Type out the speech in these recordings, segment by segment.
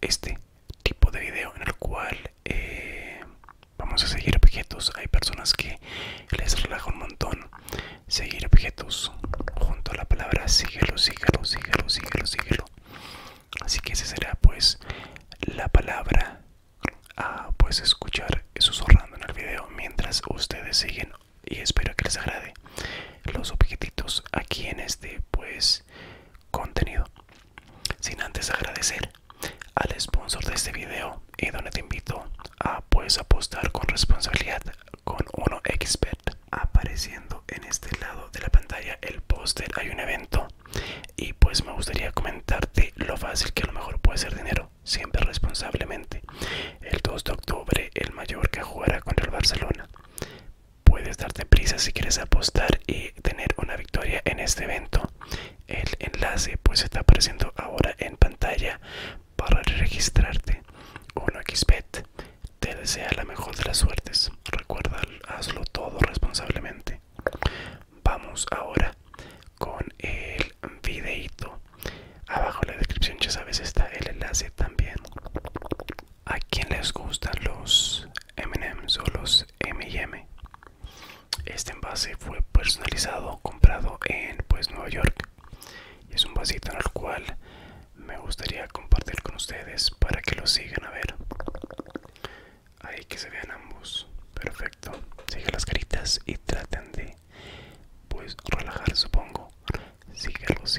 este tipo de video en el cual eh, vamos a seguir objetos. Hay personas que les relaja un montón seguir objetos junto a la palabra síguelo, síguelo, síguelo, síguelo, síguelo. Así que esa será pues la palabra a pues escuchar susurrando en el video mientras ustedes siguen y espero que les agrade los objetos aquí en este pues contenido. Sin antes agradecer al sponsor de este video y donde te invito a puedes apostar con responsabilidad con uno expert Apareciendo en este lado de la pantalla el póster hay un evento y pues me gustaría comentarte lo fácil que a lo mejor puede ser dinero, siempre responsablemente. El 2 de octubre el mayor que jugará contra el Barcelona puedes darte prisa si quieres apostar y tener una victoria en este evento. El enlace pues está apareciendo ahora en pantalla para registrarte. 1xbet te desea la mejor de las suertes. Recuerda, hazlo todo responsablemente. Vamos ahora con el videito. Abajo en la descripción ya sabes está el enlace también a quien les gustan los M&M's o los M&M este envase fue personalizado comprado en pues Nueva York y es un vasito en el cual me gustaría compartir con ustedes para que lo sigan a ver ahí que se vean ambos perfecto sigan las caritas y traten de pues relajar supongo sígalos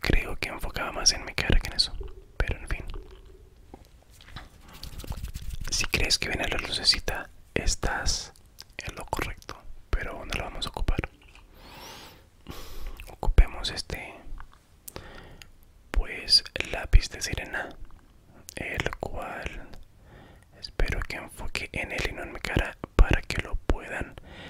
Creo que enfocaba más en mi cara que en eso. Pero en fin. Si crees que viene la lucecita, estás en lo correcto. Pero no la vamos a ocupar. Ocupemos este. Pues lápiz de sirena. El cual. Espero que enfoque en él y no en mi cara para que lo puedan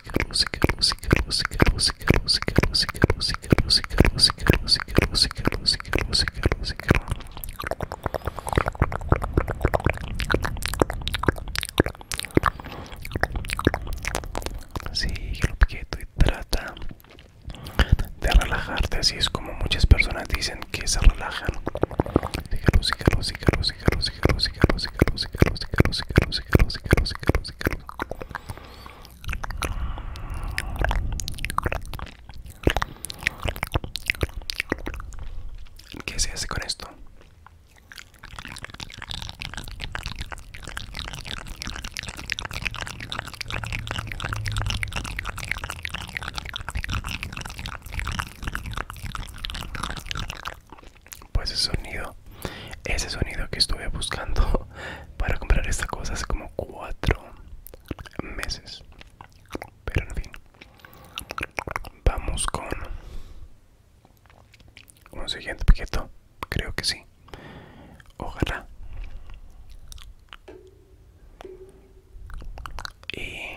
música, música, música, música, música, música, y trata de relajarte. Así es como muchas personas dicen que se relajan. ¿Qué se hace con esto? pues ese sonido ese sonido que estuve buscando para comprar esta cosa hace como cuatro meses pero en fin vamos con un siguiente paquete creo que sí ojalá y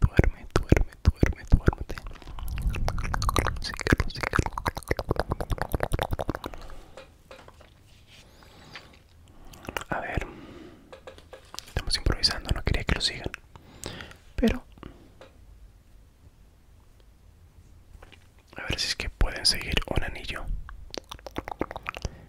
duerme, duerme, duerme, duerme, A ver, estamos improvisando, no quería que lo sigan, pero a ver si es que pueden seguir un anillo.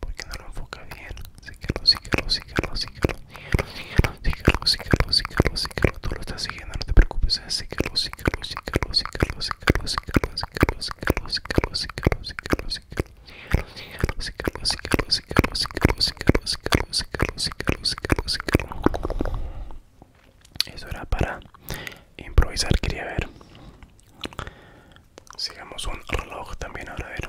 porque no lo enfoca bien lo estás siguiendo no te preocupes eso era para improvisar, quería ver. Sigamos un reloj también ahora a ver.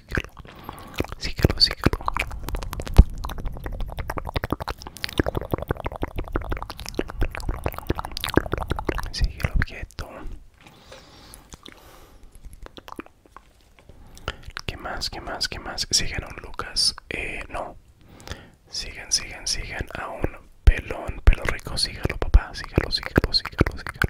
síguelo, síguelo, síguelo. Sigue el objeto. ¿Qué más? ¿Qué más? ¿Qué más? Sigan a un Lucas. Eh, no. Siguen, siguen, siguen a un pelón, pelo rico. Sígalo, papá. Sígalo, sígalo, sígalo, sígalo.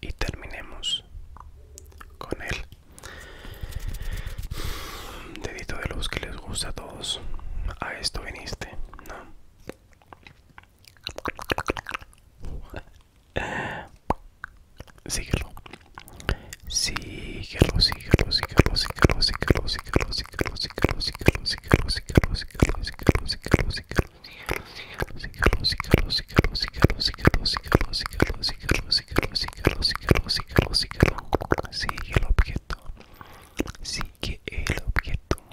y terminemos con el dedito de luz que les gusta a todos a esto viniste no síguelo síguelo síguelo síguelo síguelo síguelo síguelo síguelo sígalo, sigue el objeto, sigue el objeto,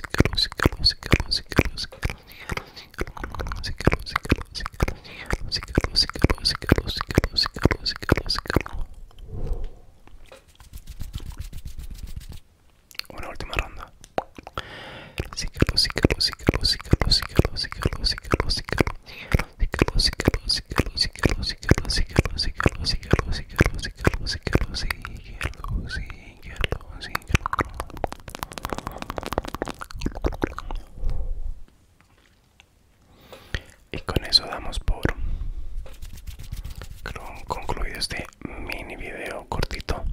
Una última ronda. Y con eso damos por concluido este mini video cortito.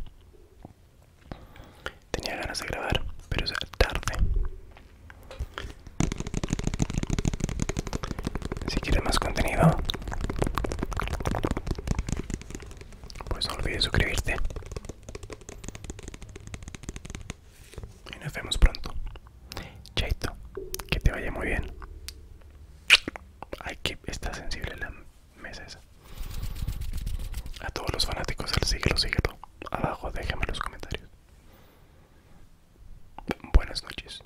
Tenía ganas de grabar, pero es tarde. Si quieres más contenido, pues no olvides suscribirte. Y nos vemos pronto. Chaito, que te vaya muy bien. Hay que está sensible la mesa A todos los fanáticos del síguelo, siglo. Abajo déjame los comentarios. Buenas noches.